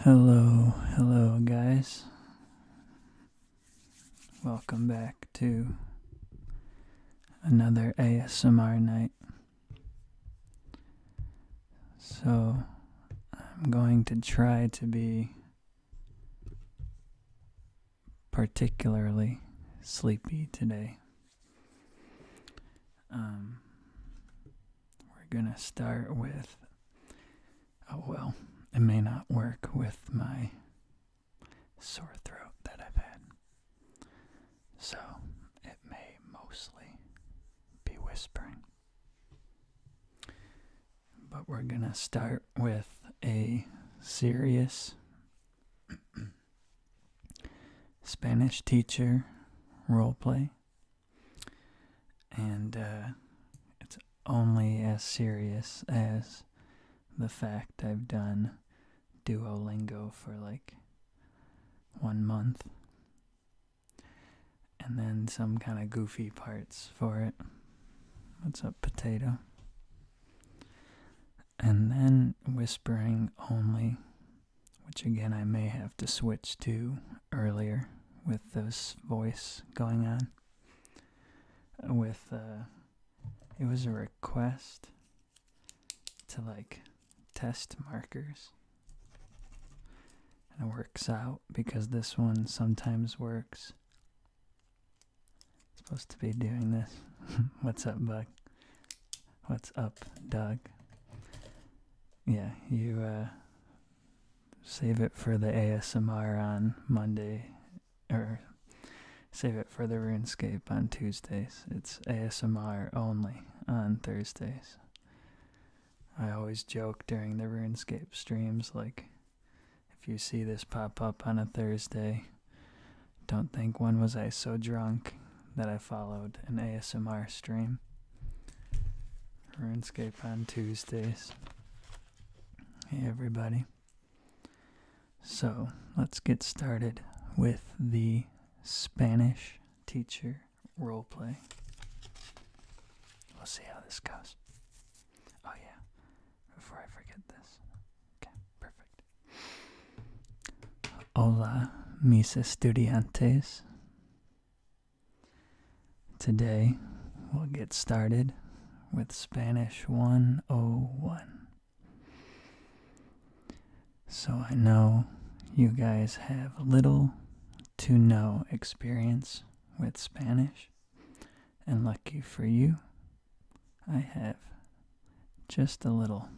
Hello, hello, guys. Welcome back to another ASMR night. So, I'm going to try to be particularly sleepy today. Um, we're going to start with Oh well, it may not work with my sore throat that I've had. So it may mostly be whispering. But we're going to start with a serious Spanish teacher role play and uh, it's only as serious as the fact I've done Duolingo for like one month. And then some kind of goofy parts for it. What's up, potato? And then whispering only, which again I may have to switch to earlier with those voice going on. With, uh, it was a request to like test markers. And it works out because this one sometimes works. supposed to be doing this. What's up, Bug? What's up, Doug? Yeah, you, uh, save it for the ASMR on Monday, or save it for the RuneScape on Tuesdays. It's ASMR only on Thursdays. I always joke during the RuneScape streams, like, if you see this pop up on a Thursday, don't think when was I so drunk that I followed an ASMR stream. RuneScape on Tuesdays. Hey everybody. So let's get started with the Spanish teacher role play. We'll see how this goes. Oh yeah, before I forget this. Okay, perfect. Hola, mis estudiantes. Today, we'll get started with Spanish 101. So, I know you guys have little to no experience with Spanish, and lucky for you, I have just a little.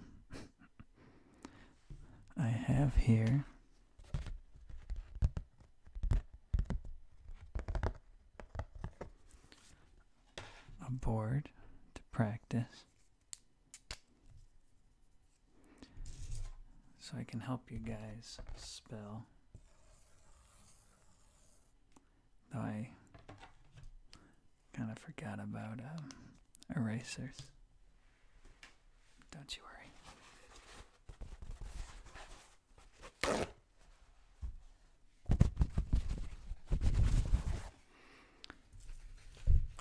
I have here a board to practice so I can help you guys spell. Though I kind of forgot about um, erasers. Don't you worry.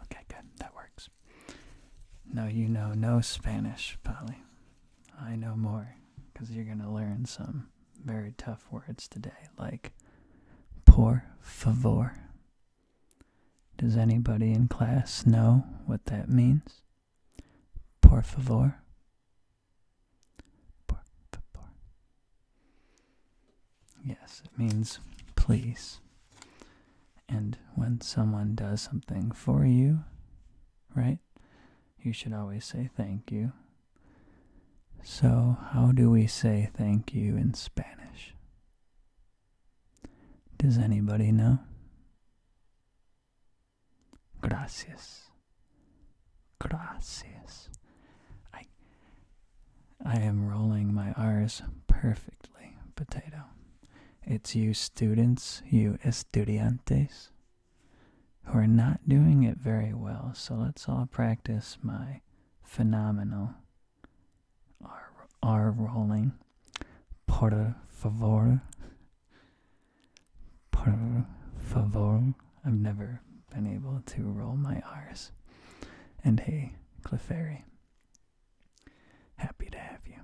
Okay, good. That works. No, you know no Spanish, Polly. I know more, because you're going to learn some very tough words today, like por favor. Does anybody in class know what that means? Por favor. Por Yes, it means please. And when someone does something for you, right, you should always say thank you. So, how do we say thank you in Spanish? Does anybody know? Gracias. Gracias. I I am rolling my R's perfectly, potato. It's you students, you estudiantes, who are not doing it very well, so let's all practice my phenomenal R, R rolling. Porta favor. Por favor. I've never been able to roll my R's. And hey, Clefairy. Happy to have you.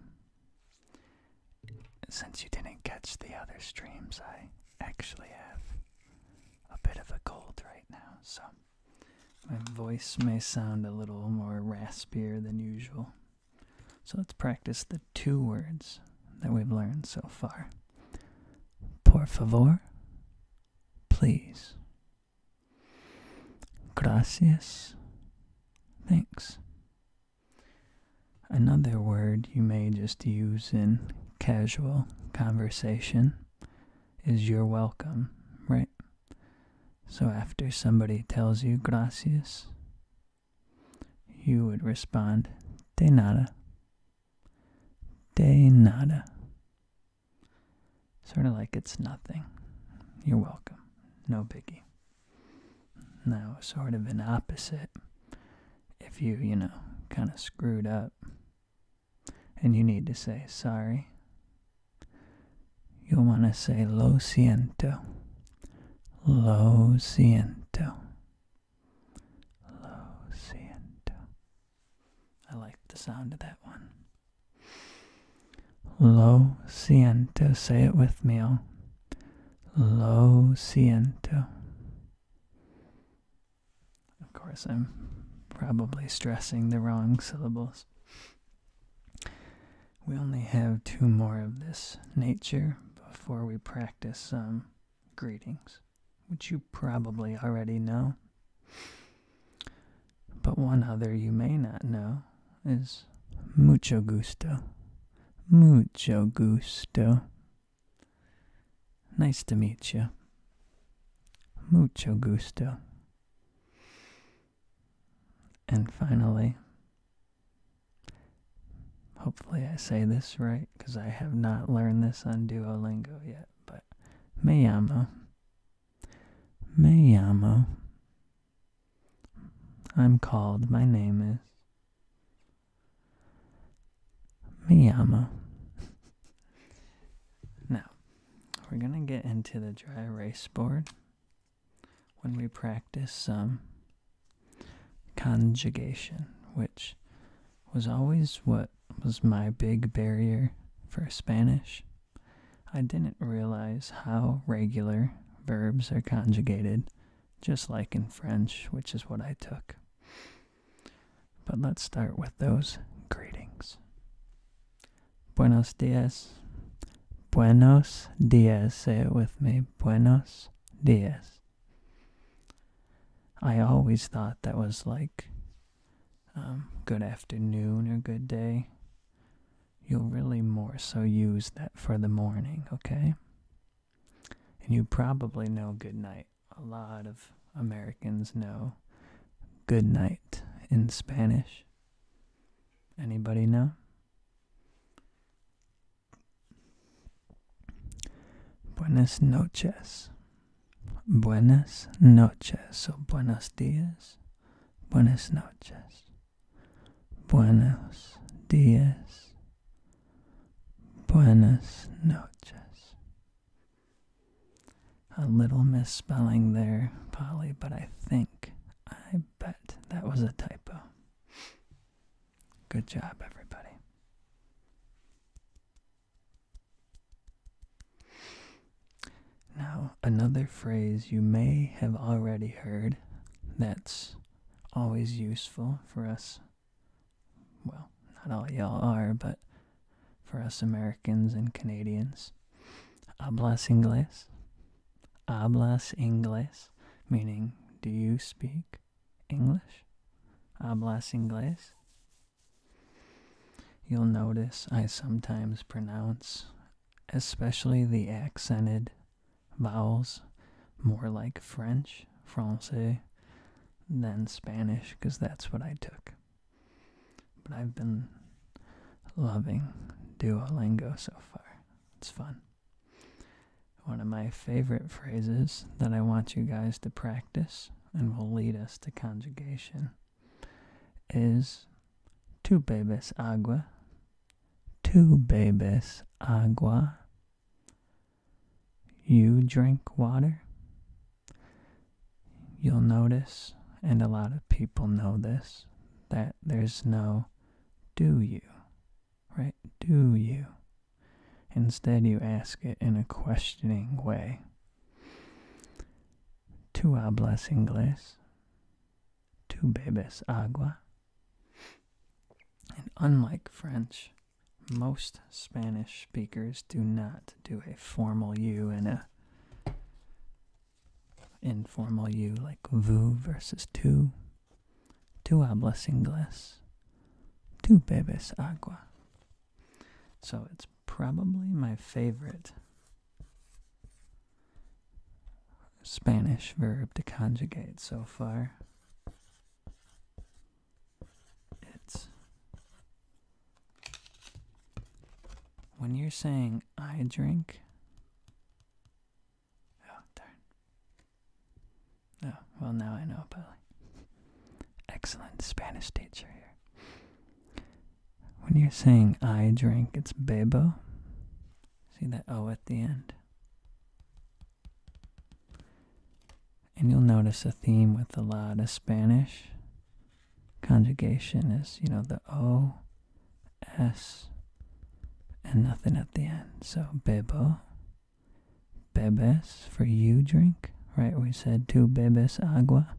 Since you didn't catch the other streams, I actually have a bit of a cold right now, so my voice may sound a little more raspier than usual. So let's practice the two words that we've learned so far. Por favor, please. Gracias, thanks. Another word you may just use in casual conversation is you're welcome, right? So after somebody tells you gracias, you would respond de nada. De nada. Sort of like it's nothing. You're welcome. No biggie. Now, sort of an opposite. If you, you know, kind of screwed up and you need to say sorry you want to say lo siento, lo siento, lo siento. I like the sound of that one. Lo siento, say it with me. Lo siento. Of course, I'm probably stressing the wrong syllables. We only have two more of this nature before we practice some um, greetings, which you probably already know. But one other you may not know is mucho gusto. Mucho gusto. Nice to meet you. Mucho gusto. And finally, hopefully I say this right because I have not learned this on Duolingo yet, but Mayamo. Mayamo. I'm called, my name is. Miyama. now, we're going to get into the dry erase board when we practice some um, conjugation, which was always what was my big barrier for Spanish. I didn't realize how regular verbs are conjugated, just like in French, which is what I took. But let's start with those greetings. Buenos dias. Buenos dias. Say it with me. Buenos dias. I always thought that was like um, good afternoon or good day. You'll really more so use that for the morning, okay? And you probably know good night. A lot of Americans know good night in Spanish. Anybody know? Buenas noches. Buenas noches. So buenos dias. Buenas noches. Buenos dias. Buenas noches. A little misspelling there, Polly, but I think I bet that was a typo. Good job, everybody. Now, another phrase you may have already heard that's always useful for us. Well, not all y'all are, but for us Americans and Canadians. Hablas inglés? Hablas inglés, meaning do you speak English? Hablas inglés. You'll notice I sometimes pronounce, especially the accented vowels, more like French, Francais, than Spanish, because that's what I took. But I've been loving Duolingo so far. It's fun. One of my favorite phrases that I want you guys to practice and will lead us to conjugation is tu bebes agua, tu bebes agua. You drink water. You'll notice, and a lot of people know this, that there's no do you, right? Do you? Instead, you ask it in a questioning way. Tu hablas inglés? Tu bebes agua? And unlike French, most Spanish speakers do not do a formal you in a informal you like VU versus tu. Tu hablas inglés. Tu bebes agua. So it's probably my favorite Spanish verb to conjugate so far. It's when you're saying I drink, Oh, darn. Oh, well, now I know about Excellent Spanish teacher here. When you're saying I drink, it's bebo. See that O at the end? And you'll notice a theme with a lot of Spanish. Conjugation is, you know, the O S, and nothing at the end. So bebo, bebes for you drink, right? We said two bebes agua.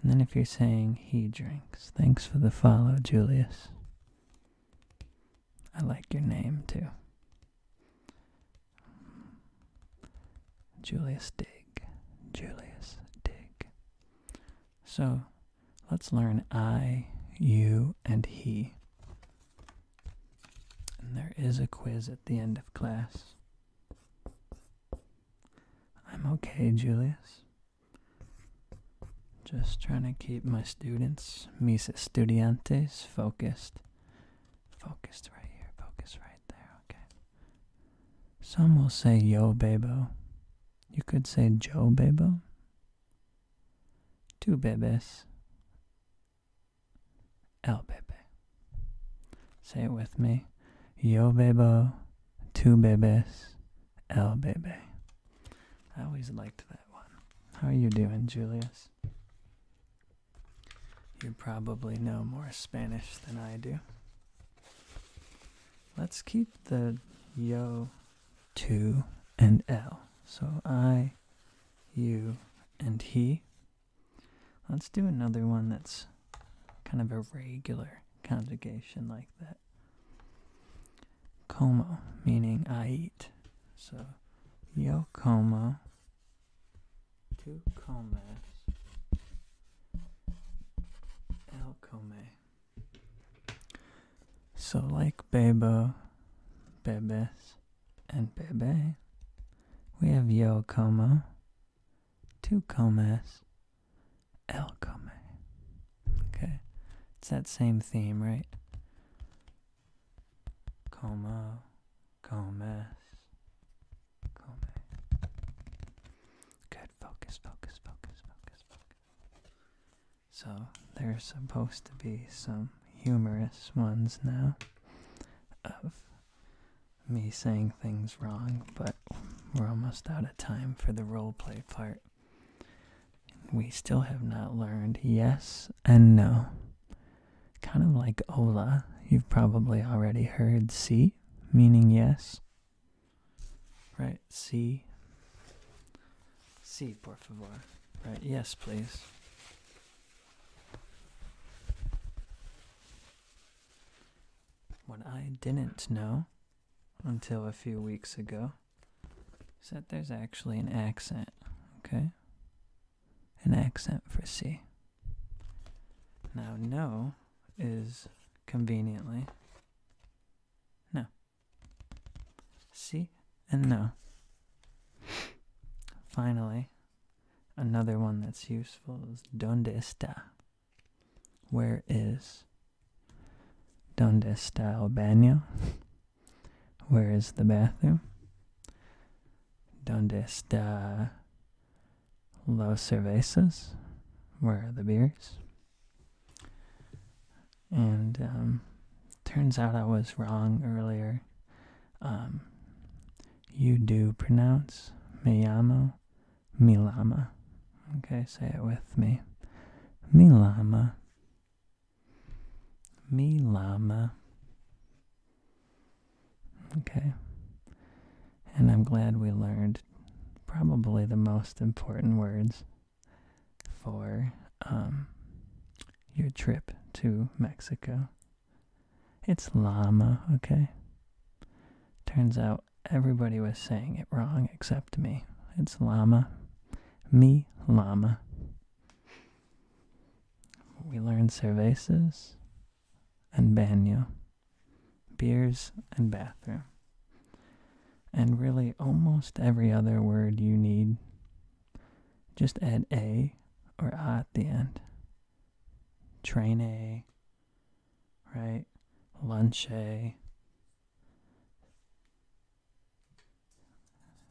And then if you're saying he drinks, thanks for the follow, Julius. I like your name too. Julius Dig. Julius Dig. So let's learn I, you, and he. And there is a quiz at the end of class. I'm okay, Julius. Just trying to keep my students, mis estudiantes, focused. Focused right here, Focused right there, okay. Some will say Yo Bebo. You could say Joe Bebo. Two bebes. El Bebe. Say it with me. Yo Bebo. two bebes. El Bebe. I always liked that one. How are you doing, Julius? You probably know more Spanish than I do. Let's keep the yo, to, and l. So I, you, and he. Let's do another one that's kind of a regular conjugation like that. Como, meaning I eat. So yo como, tu comes, el come. So, like Bebo, Bebes, and Bebe, we have Yo Como, Two Comas, El Come. Okay, it's that same theme, right? Como, Comas, Come. Good focus, focus, focus, focus, So, there's supposed to be some humorous ones now of me saying things wrong, but we're almost out of time for the role play part. We still have not learned yes and no. Kind of like Ola, you've probably already heard C, meaning yes, Right, C. C, por favor. Right, yes, please. What I didn't know until a few weeks ago is that there's actually an accent, okay? An accent for C. Now, no is conveniently no. See? And no. Finally, another one that's useful is donde está? Where is? Donde está el baño? Where is the bathroom? Donde está Los Cervezas are the beers. And um, turns out I was wrong earlier. Um, you do pronounce me llamo Milama. Okay, say it with me. Milama. Milama. Okay and I'm glad we learned probably the most important words for um, your trip to Mexico. It's llama, okay? Turns out everybody was saying it wrong except me. It's llama. Me, llama. We learned cervezas and baño beers, and bathroom. And really, almost every other word you need, just add a or a at the end. Train a, right? Lunch a,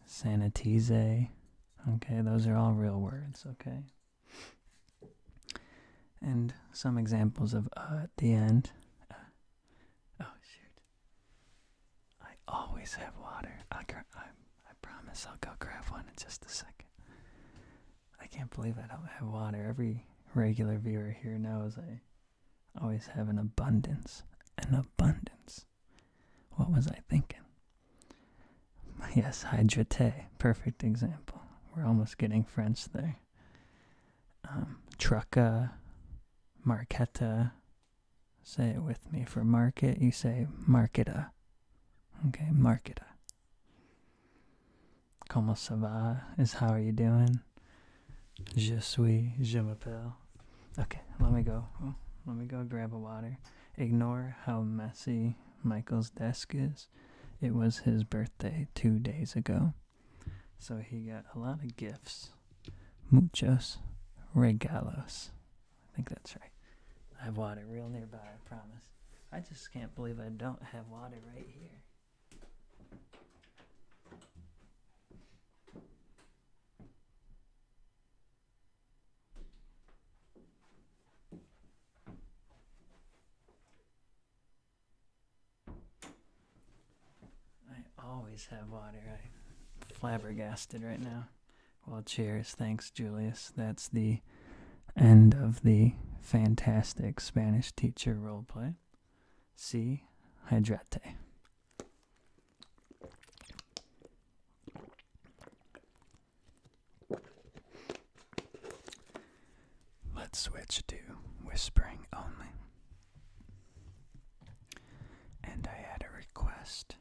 sanitize. Okay, those are all real words, okay? and some examples of uh, at the end. Uh, oh shoot! I always have water. i I I promise I'll go grab one in just a second. I can't believe I don't have water. Every regular viewer here knows I always have an abundance. An abundance. What was I thinking? Yes, hydrate. Perfect example. We're almost getting French there. Um, trucka, marketa. Say it with me. For market, you say marketa. Okay, marketa. Como ça va is how are you doing? Je suis, je Okay, let me go. let me go grab a water. Ignore how messy Michael's desk is. It was his birthday two days ago. So he got a lot of gifts. Muchos regalos. I think that's right. I have water real nearby, I promise. I just can't believe I don't have water right here. I always have water. I'm flabbergasted right now. Well, cheers. Thanks, Julius. That's the end of the fantastic Spanish teacher role play. See, hydrate. Let's switch to whispering only. And I had a request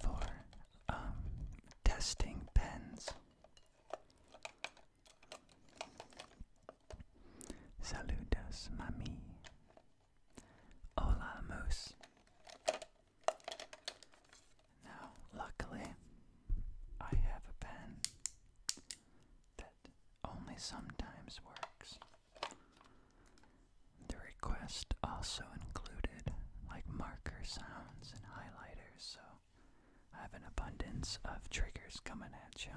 for um, testing pens. Saludos, mami. Hola, moose. Now, luckily, I have a pen that only sometimes works. The request also included like marker sounds and highlighters, so I have an abundance of triggers coming at you.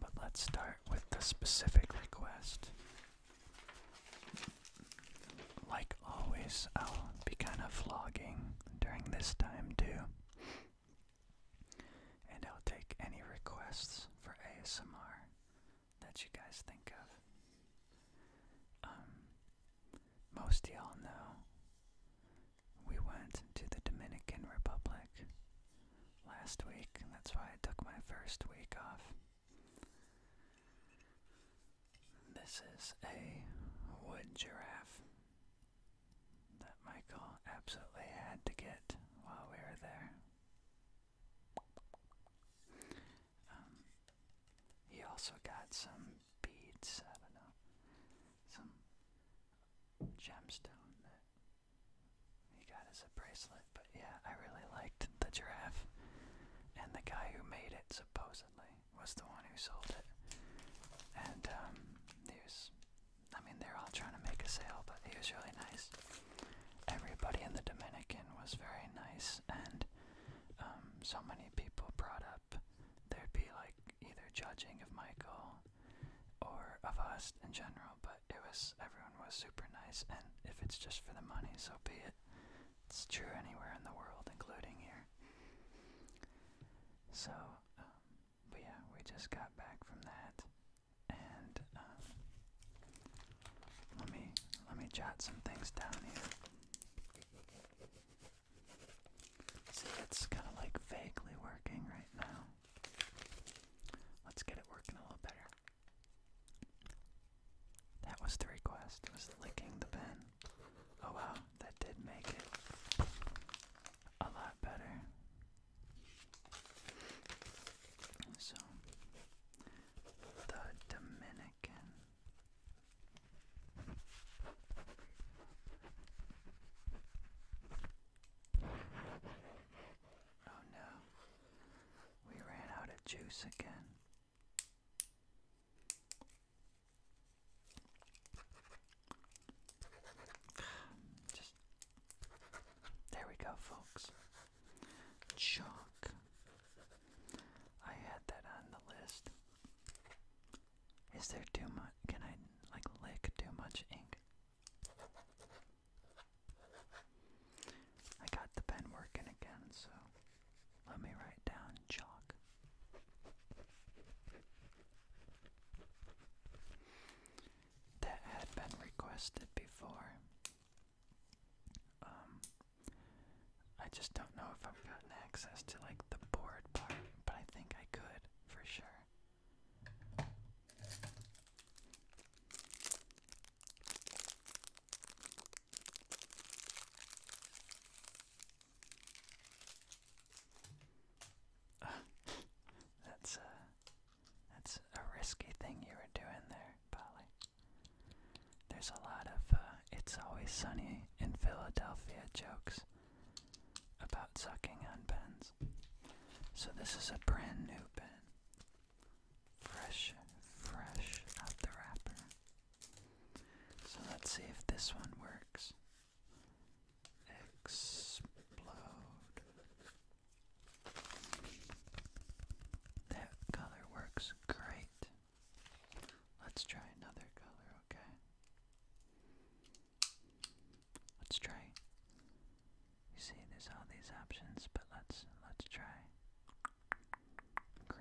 But let's start with the specific request. Like always, I'll be kind of vlogging during this time too. And I'll take any requests for ASMR that you guys think of. Um, most y'all know we went to the Dominican Republic last week. That's why I took my first week off. This is a wood giraffe that Michael absolutely had to get while we were there. Um, he also got some beads, I don't know, some gemstone that he got as a bracelet. But yeah, I really liked the giraffe. And the guy who made it supposedly was the one who sold it, and um, he was. I mean, they're all trying to make a sale, but he was really nice. Everybody in the Dominican was very nice, and um, so many people brought up there'd be like either judging of Michael or of us in general, but it was everyone was super nice, and if it's just for the money, so be it. It's true anywhere in the world, including here. So, um, but yeah, we just got back from that, and um, let me let me jot some things down here. See, it's kind of like vaguely working right now. Let's get it working a little better. That was the request, was licking the pen. Oh wow, that did make it a lot better. So, the Dominican. Oh no, we ran out of juice again. Just there we go, folks. Chalk. I had that on the list. Is there too much? Can I like lick too much ink? I got the pen working again, so let me write down chalk. That had been requested before. Um, I just don't know if I've gotten access to like the board part, but I think I could for sure. that's a uh, that's a risky thing you were doing there, Polly. There's a lot of uh, "It's Always Sunny in Philadelphia" jokes about sucking on pens. So this is a brand new pen fresh, fresh out the wrapper. So let's see if this one works. Explode. That color works great. Let's try another color, okay? Let's try. You see, there's all these options, but let's let's try we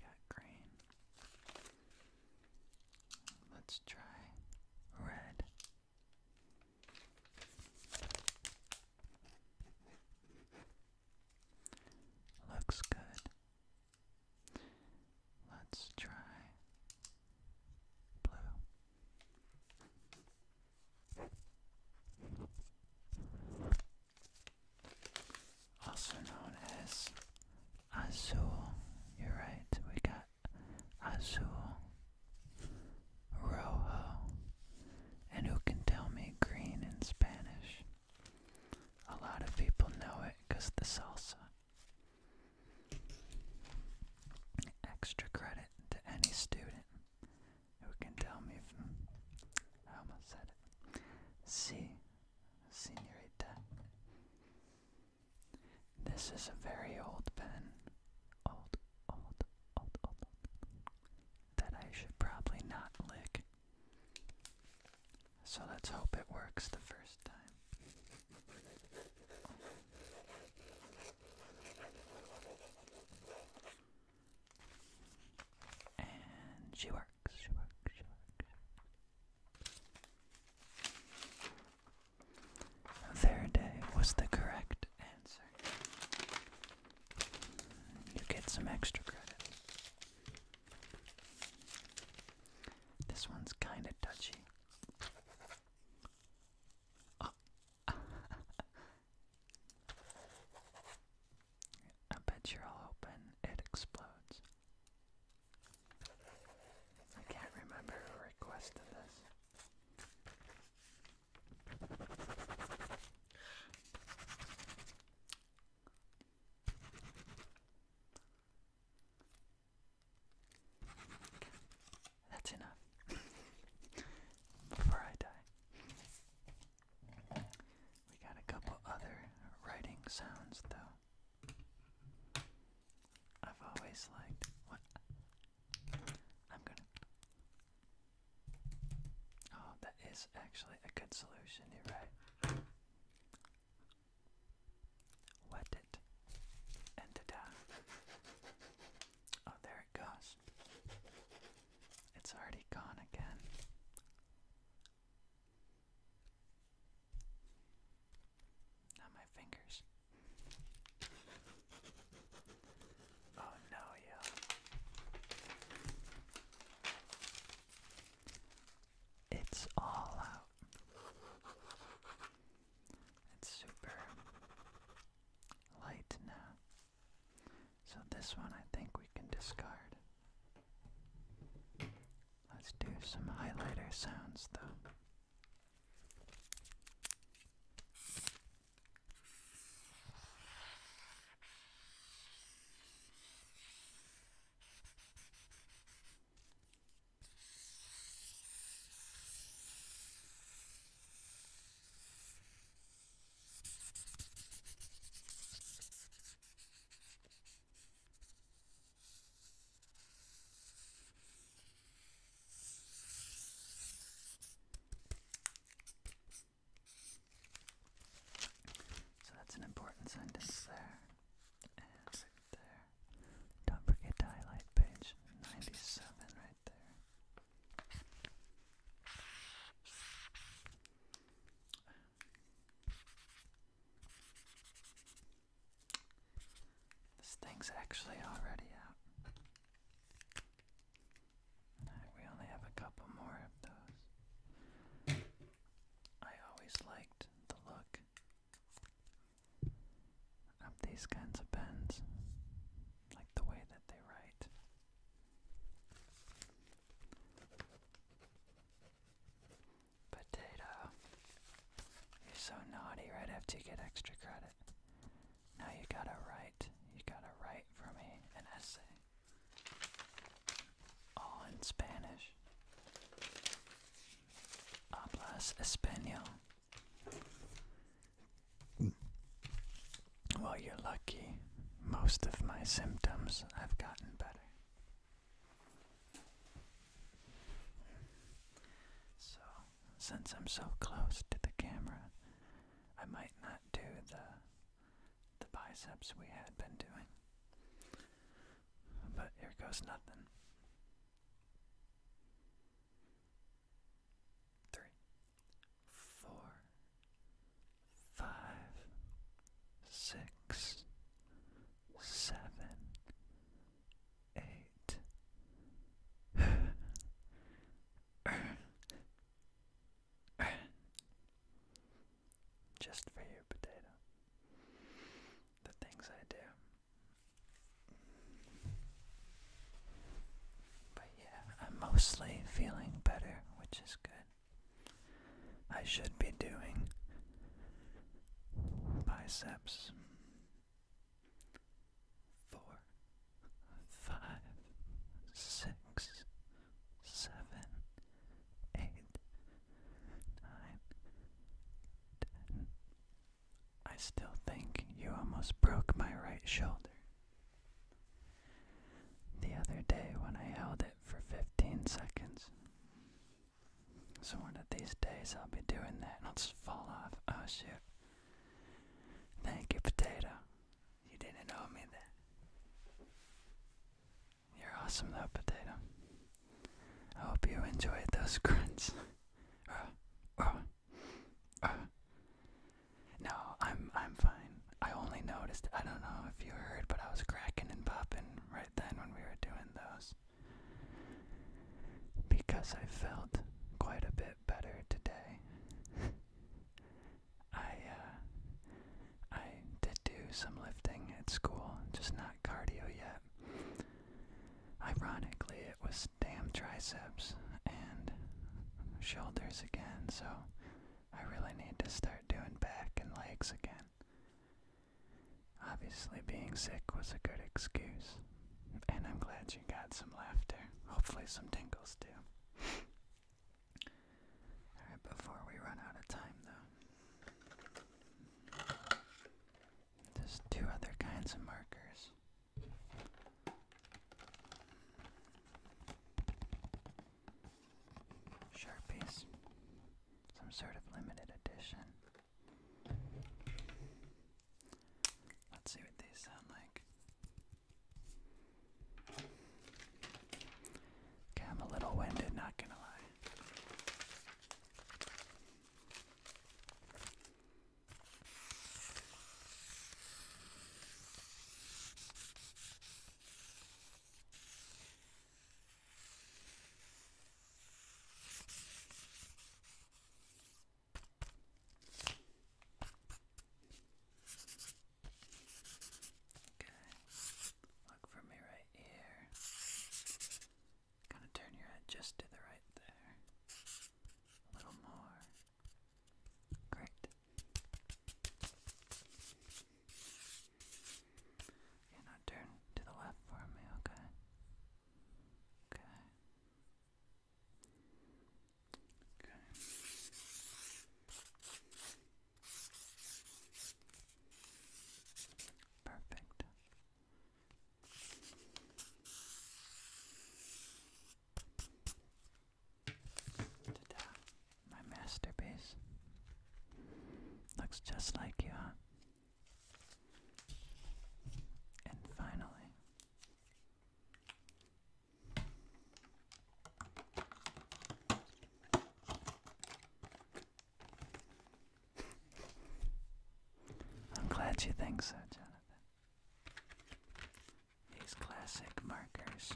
got green. Let's try red. Looks good. Let's try blue. Also known as azul. You're right, we got azul, rojo, and who can tell me green in Spanish? A lot of people know it because the salsa. Extra credit to any student who can tell me if I almost said it. See, senorita. This is a very old pen. Old, old, old, old. That I should probably not lick. So let's hope it works the first time. And she works, she works, she works. Their was the correct answer. You get some extra credit. This one's kinda touchy. I bet you're all open, it explodes. I can't remember who requested this. That's enough before I die. We got a couple other writing sounds though. I've always liked I'm gonna. Oh, that is actually a good solution, you're right. Wet it. And ta-da. Oh, there it goes. It's already gone again. Now my fingers. Oh no, yo. It's all out. It's super light now. So this one I think we can discard. Let's do some highlighter sounds though. So that's an important sign to there. Don't forget to highlight page 97 right there. This thing's actually already out. we only have a couple more of those. I always liked the look I um, of these kinds of pens, like the way that they write. Potato. You're so naughty right after you get extra credit. Now you gotta write. You gotta write for me an essay. All in Spanish. Hablas Espanol. Well, you're lucky. Most of my symptoms have gotten better. So, since I'm so close to the camera, I might not do the the biceps we had been doing. But here goes nothing. Three, four, five, six, seven, eight. Just for you, potato the things I do. But yeah, I'm mostly feeling better, which is good. I should be doing biceps four, five, six, seven, eight, nine, ten. I still think you almost broke my right shoulder. The other day when I held it for 15 seconds. So one of these days I'll be doing that and I'll just fall off. Oh shit. Thank you, potato. You didn't owe me that. You're awesome though, potato. I hope you enjoyed those grunts. uh, uh, uh. No, I'm I'm fine. I only noticed I don't know if you heard, but I was cracking and popping right then when we were doing those. Because I felt quite a bit better today. I uh, I did do some lifting at school, just not cardio yet. Ironically, it was damn triceps and shoulders again, so I really need to start doing back and legs again. Obviously, being sick was a good excuse, and I'm glad you got some laughter. Hopefully, some tingles too. Alright, before we run out of time though, there's two other kinds of markers. Sharpies, some sort of limited edition. Let's see what these sound like. Okay, I'm a little winded, not gonna lie. Okay. Look for me right here. Kind of turn your head just to the right there. A little more. Great. Yeah, now turn to the left for me, okay? Okay. Okay. Perfect. Ta-da. My masterpiece. Looks just like you, huh? And finally, I'm glad you think so, Jonathan. These classic markers.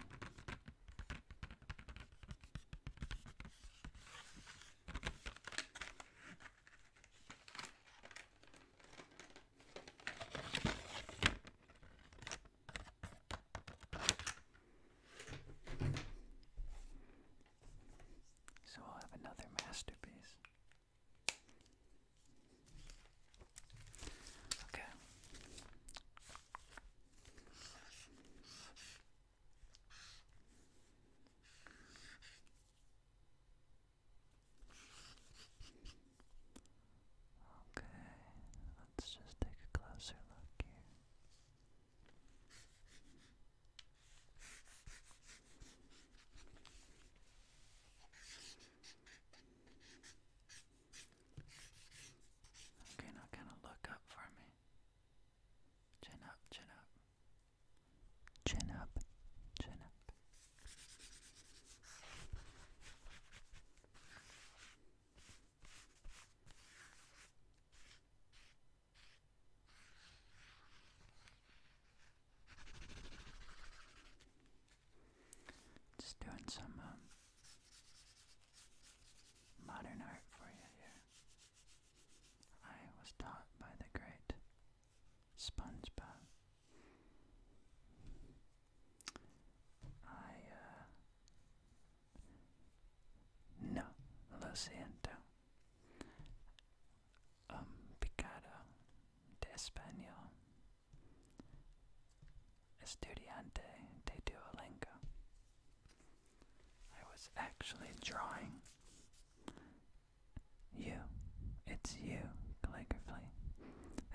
So I'll have another masterpiece. Okay. Okay, let's just take a closer look here. Okay, now kind of look up for me. Chin up, chin up. Chin up, chin up. Just doing some um, modern art for you here. I was taught by the great SpongeBob. I uh, no, lo siento. Un um, picado de español. Estudiante de Duolingo. I was actually drawing you. It's you, calligraphy.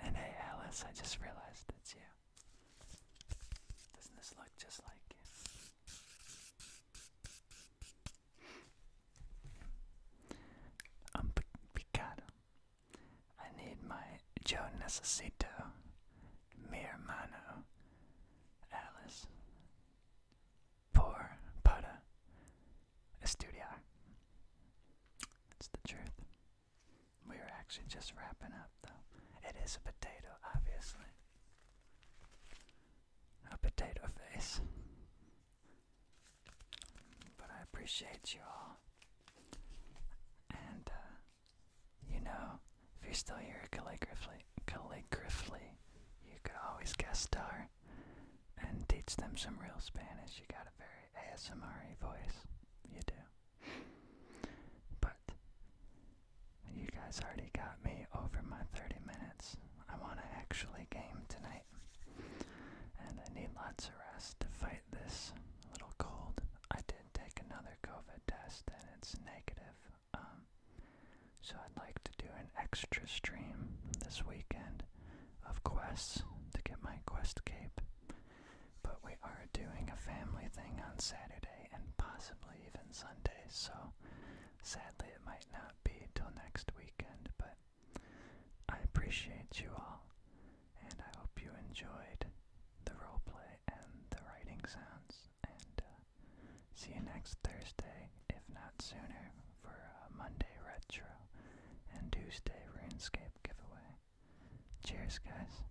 And hey, Alice, I just realized it's you. Doesn't this look just like you? Um, i I need my yo necesito, mi hermano, Alice, por para estudiar. That's the truth. We are actually just wrapping up though. It is a potato, obviously. A potato face. But I appreciate you all. And, uh, you know, if you're still here calligraphically, calligraphically, you could always guest star and teach them some real Spanish. You got a very ASMR voice. You do. But you guys already got me over my 30 minutes. I want to actually game tonight. And I need lots of rest to fight this little cold. I did take another COVID test and it's negative. Um, so I'd like to do an extra stream this weekend of quests to get my quest cape. But we are doing a family thing on Saturday and possibly even and Sunday, so sadly it might not be till next weekend, but I appreciate you all, and I hope you enjoyed the roleplay and the writing sounds, and uh, see you next Thursday, if not sooner, for a Monday Retro and Tuesday RuneScape giveaway. Cheers, guys.